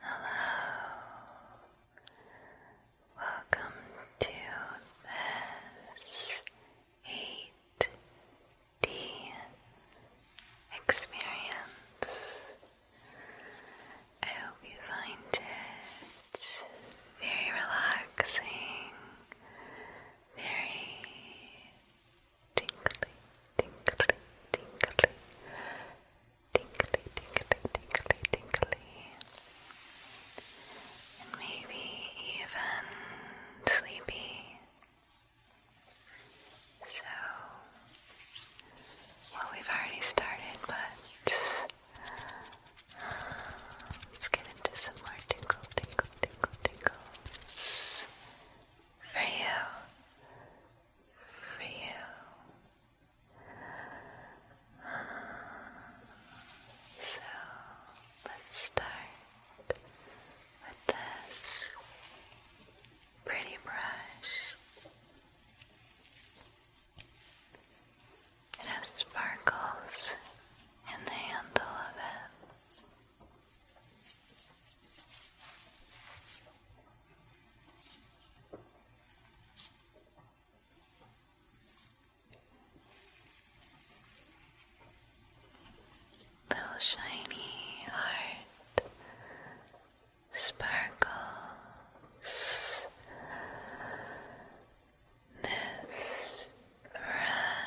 Hello, welcome to this 8D experience. I hope you find it very relaxing, very tingly, tingly, tingly, tingly, tingly, tingly, tingly, and maybe even sleepy. So, well, we've already started, but uh, let's get into some more tingle, tingle, tingle, tingles for you for you. So let's start with this pretty brush. It has sparkles in the handle of it. Little shiny heart sparkle. This fresh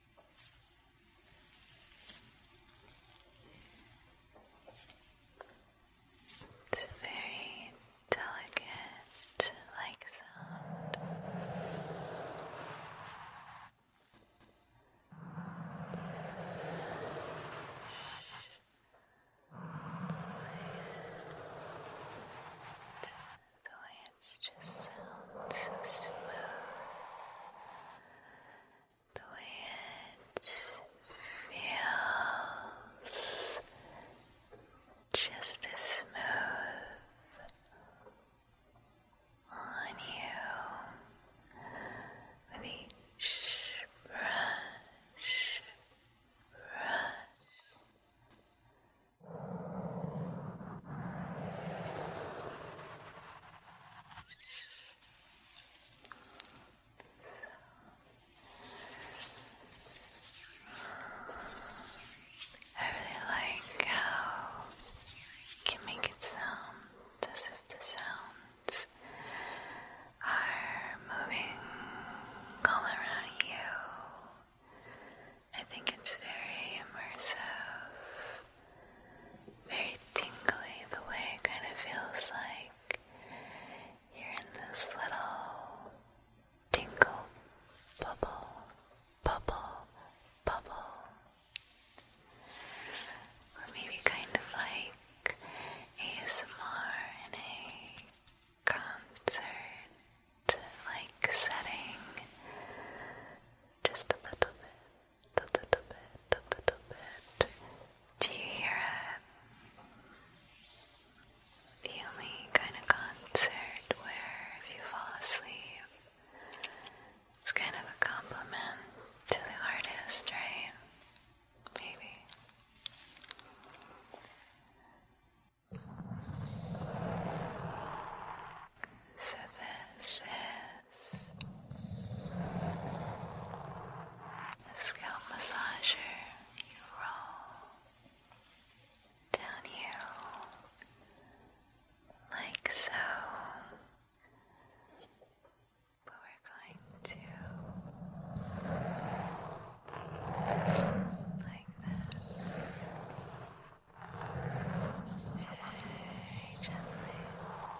It's a very delicate like sound. The way just sounds so smooth the way it feels just as smooth on you with each brush, brush. I really like how you can make it sound as if the sounds are moving all around you. I think it's very immersive very tingly the way it kind of feels like you're in this little tingle bubble, bubble, bubble. Or maybe kind of like ASMR in a concert like setting. Just a little bit a little bit, a little bit. Do you hear it? The only kind of concert where if you fall asleep, it's kind of a compliment to the artist, right? Maybe. So this is scalp massager roll downhill like so. But we're going to like that very gently.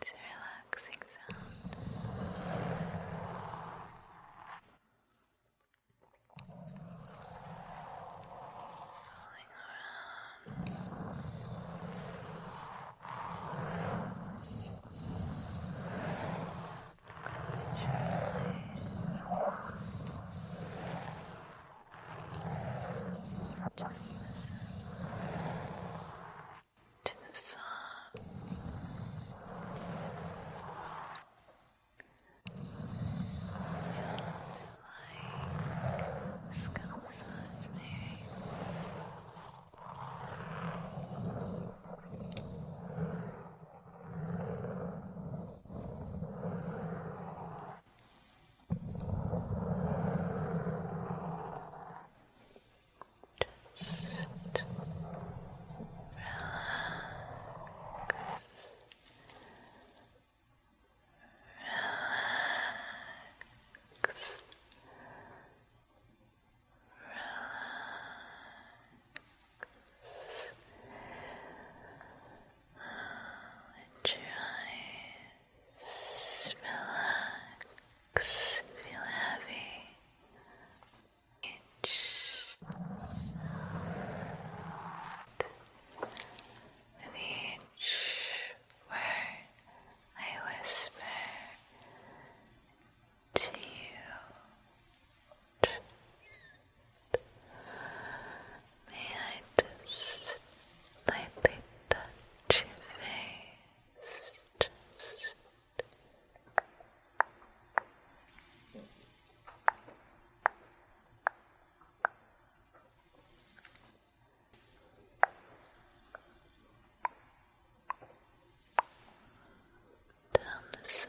To relax relaxing sound. Rolling around. Just listen to the sun, like skin massage maybe just relax. Relax. Relax. Let relax, feel heavy. Each with each word I whisper to you. May I just lightly touch your face? just down the sides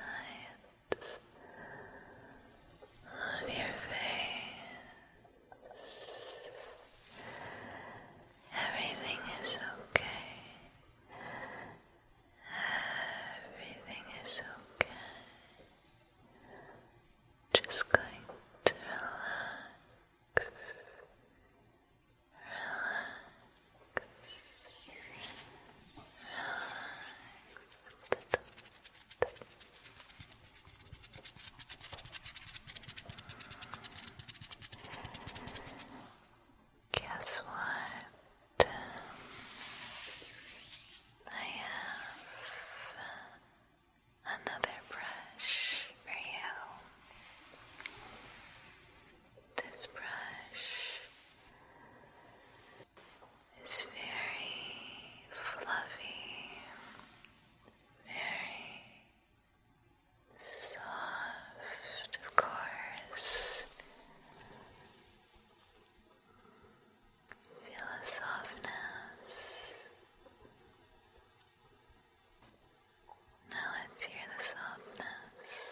of your face Everything is okay. Everything is okay. Just going to relax. Relax. Relax. Guess what? I have another brush for you. This brush is very fluffy, very Soft, of course. Feel the softness. Now let's hear the softness.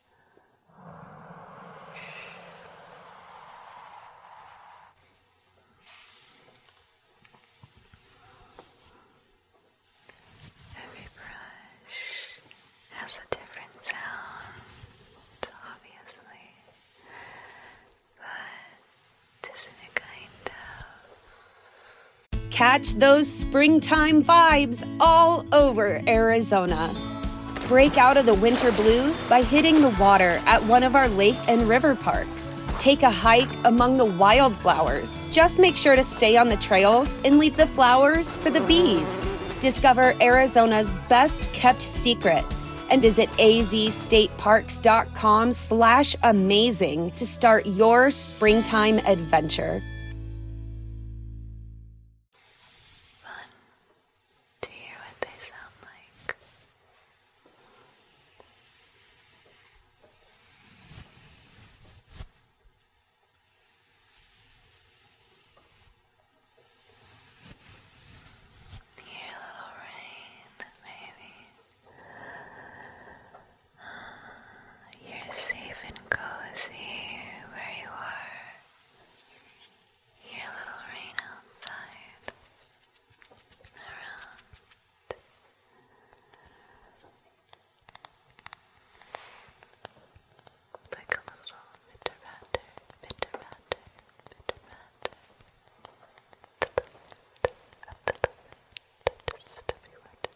Every brush has a different sound, obviously, but isn't it kind of. Catch those springtime vibes all over Arizona. Break out of the winter blues by hitting the water at one of our lake and river parks. Take a hike among the wildflowers. Just make sure to stay on the trails and leave the flowers for the bees. Discover Arizona's best kept secret and visit azstateparks.com slash amazing to start your springtime adventure fun to hear what they sound like. Hear little rain, maybe. You're safe and cozy where you are. Your little rain outside, around. Like a little bitter batter, bitter batter, bitter batter. A little bit, just everywhere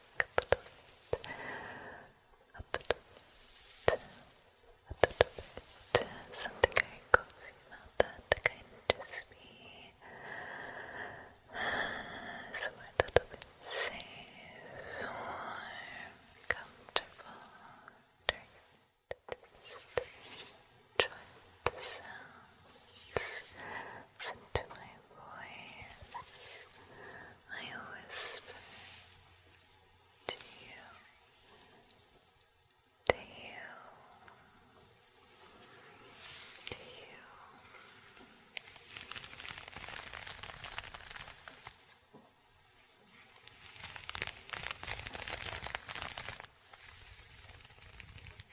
back a little bit, a that to just be somewhere a little bit safe, warm, comfortable. Just enjoy the sounds. Listen to my voice, I whisper to you, to you, to you.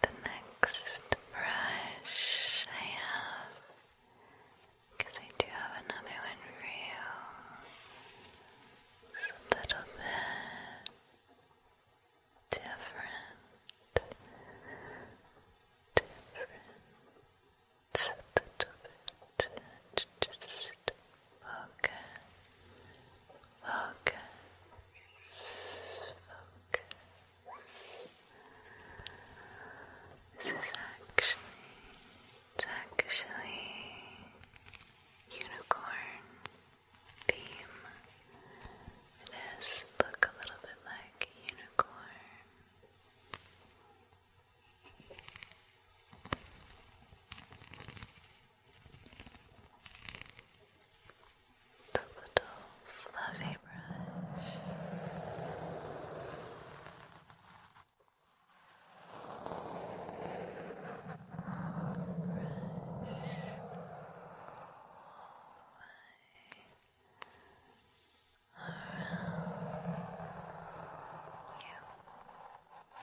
The next brush I have, because I do have another one for you, a little bit Different a little bit just focus, focus. This is actually, it's actually unicorn theme. This look a little bit like unicorn. The little fluffy brush. Brush all around you.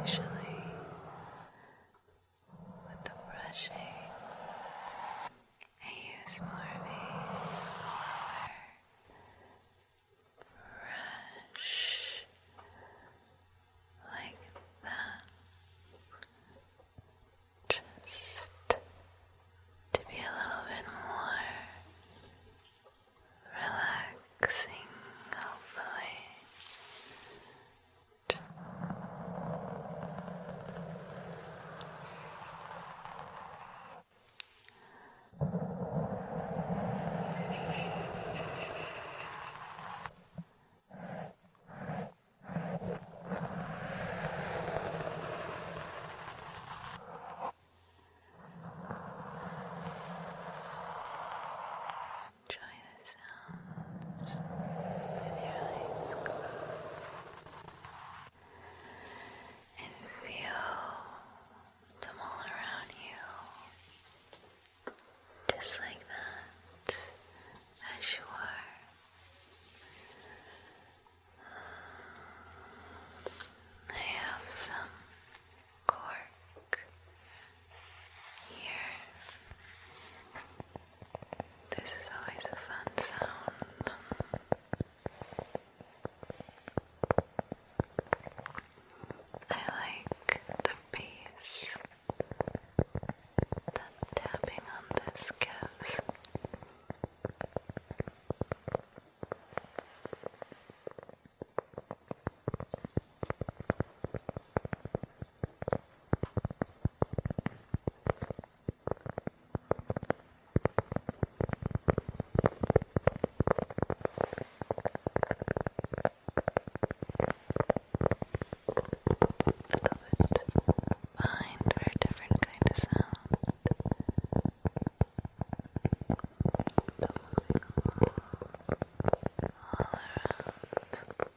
usually with the brushing, I use more of a slower brush like that, just to be a little bit more relaxing, hopefully. Enjoy the sounds with your eyes closed and feel them all around you, just like that, as you are. I have some cork here. This is always a fun sound. I like the bass that tapping on this gives. Covered behind for a different kind of sound all around. All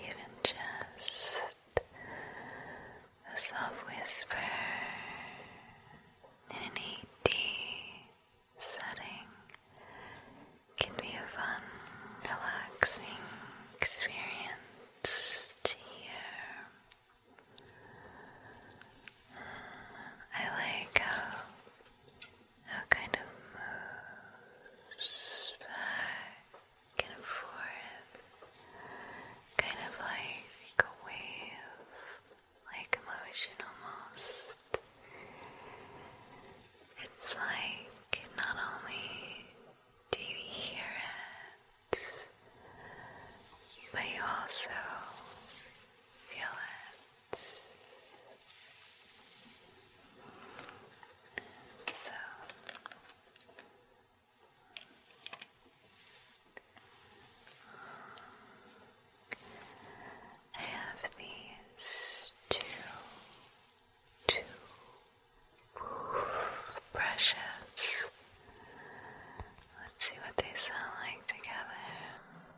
even just a soft whisper in an 8 setting can be a fun, relaxing experience to hear. I like how how kind of moves back and forth, kind of like a wave, like emotion almost. It's like not only do you hear it, but you also feel it. So I have these two two brushes. Let's see what they sound like together.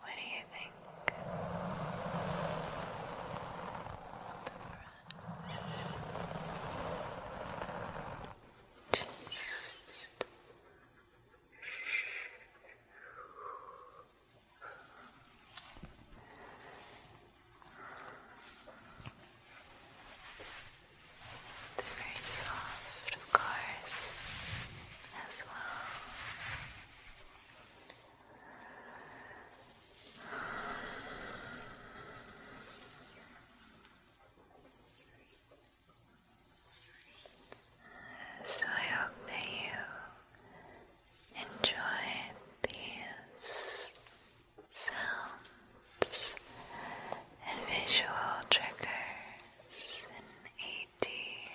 What do you think? Just they're very soft, of course as well. So I hope that you enjoyed these sounds and visual triggers mighty.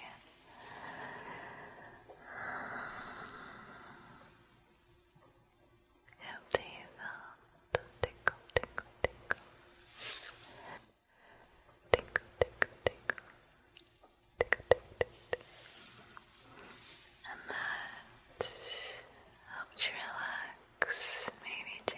Empty it tickle, tickle. Tickle, tickle, tickle. Tickle, tickle, tickle. And that helps you relax, maybe too.